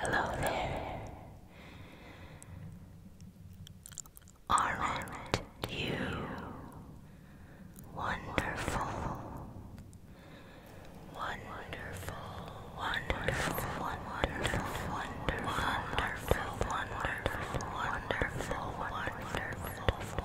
Hello there. Aren't you wonderful? Wonderful, wonderful, wonderful, wonderful, wonderful, wonderful, wonderful, wonderful, wonderful,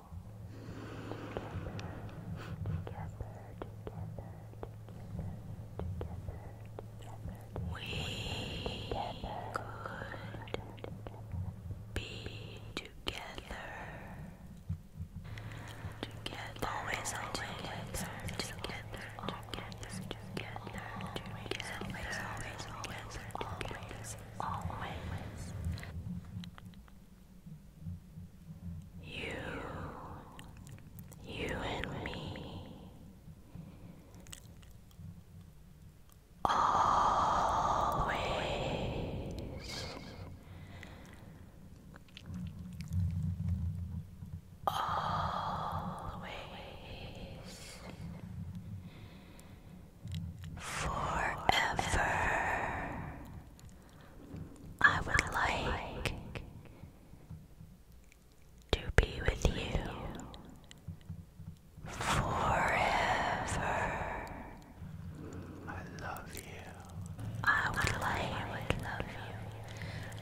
we could be together. Together, always, always, together, together, together, together, always, always, always, always, always. You, you and me, always, always forever. I would like to be with you forever. I love you. I would like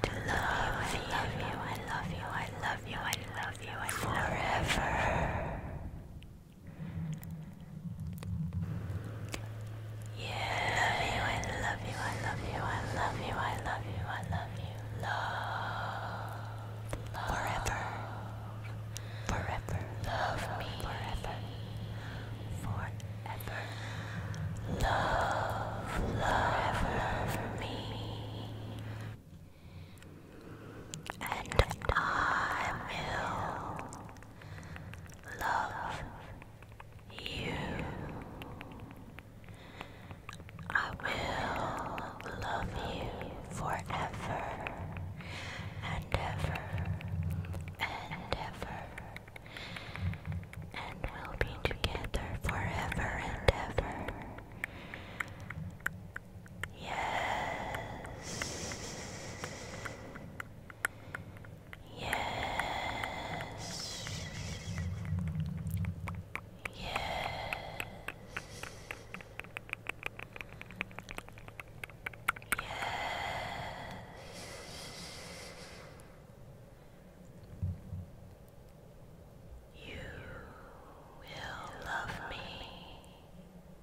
To love you, I love you, I love you, I love you, I love you forever. Yeah, I love you, I love you, I love you, I love you, I love you, I love you. Love, forever, forever, love me, forever, forever, love, love, love me and I will love you. I will love you forever and ever and ever, and we'll be together forever and ever. Yes. Yes. Yes. Yes. You will love me.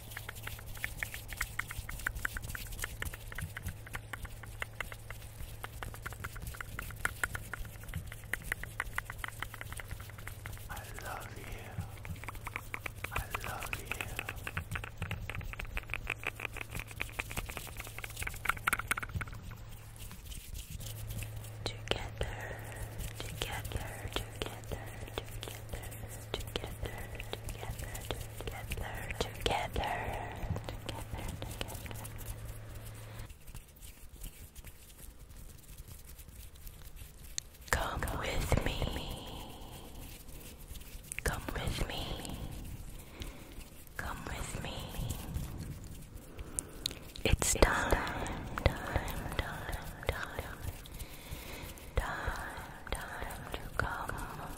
I love you. I love you. Together, together, together, together together, together, together, together, together, together. Come with me. Come with me. Come with me. It's time, time, time, time, time, time to come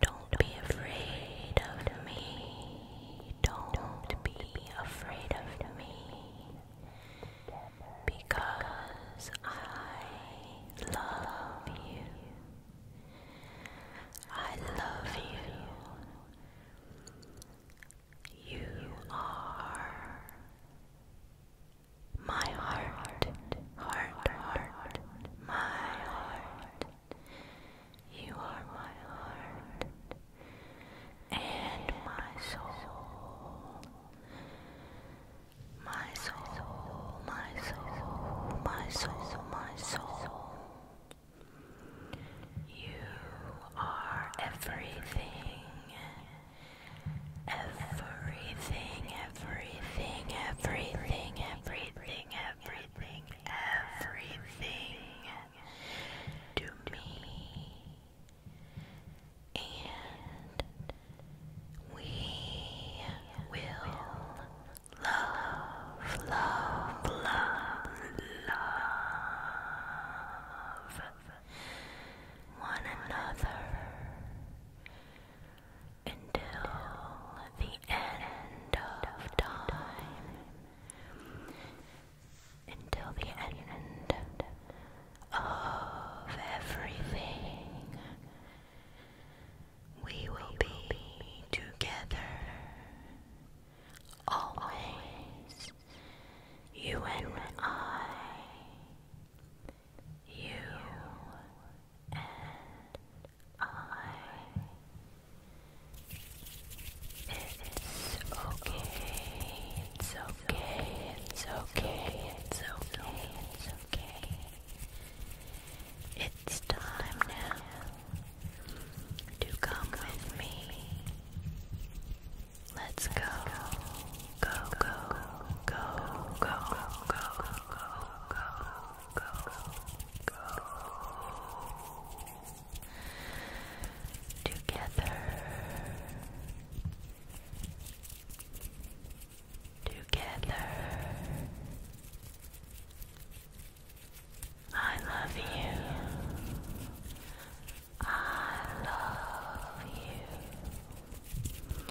Don't be afraid of me. Don't be afraid of me. Because I love you. I love you. You are my heart, heart, heart, my heart. You are my heart and my soul. My soul, my soul, my soul, my soul. You are everything. Everything, everything, everything, everything, everything, everything to me, and we will love, love, love, love one another until the the end of time. Until the end of everything, we will be together. Always, you and I, you and it's okay. It's okay. It's okay. It's okay. It's okay. It's time now to come with me. Let's Go, go, go, go, go, go, go, go go, go together, together. I love you. I love you.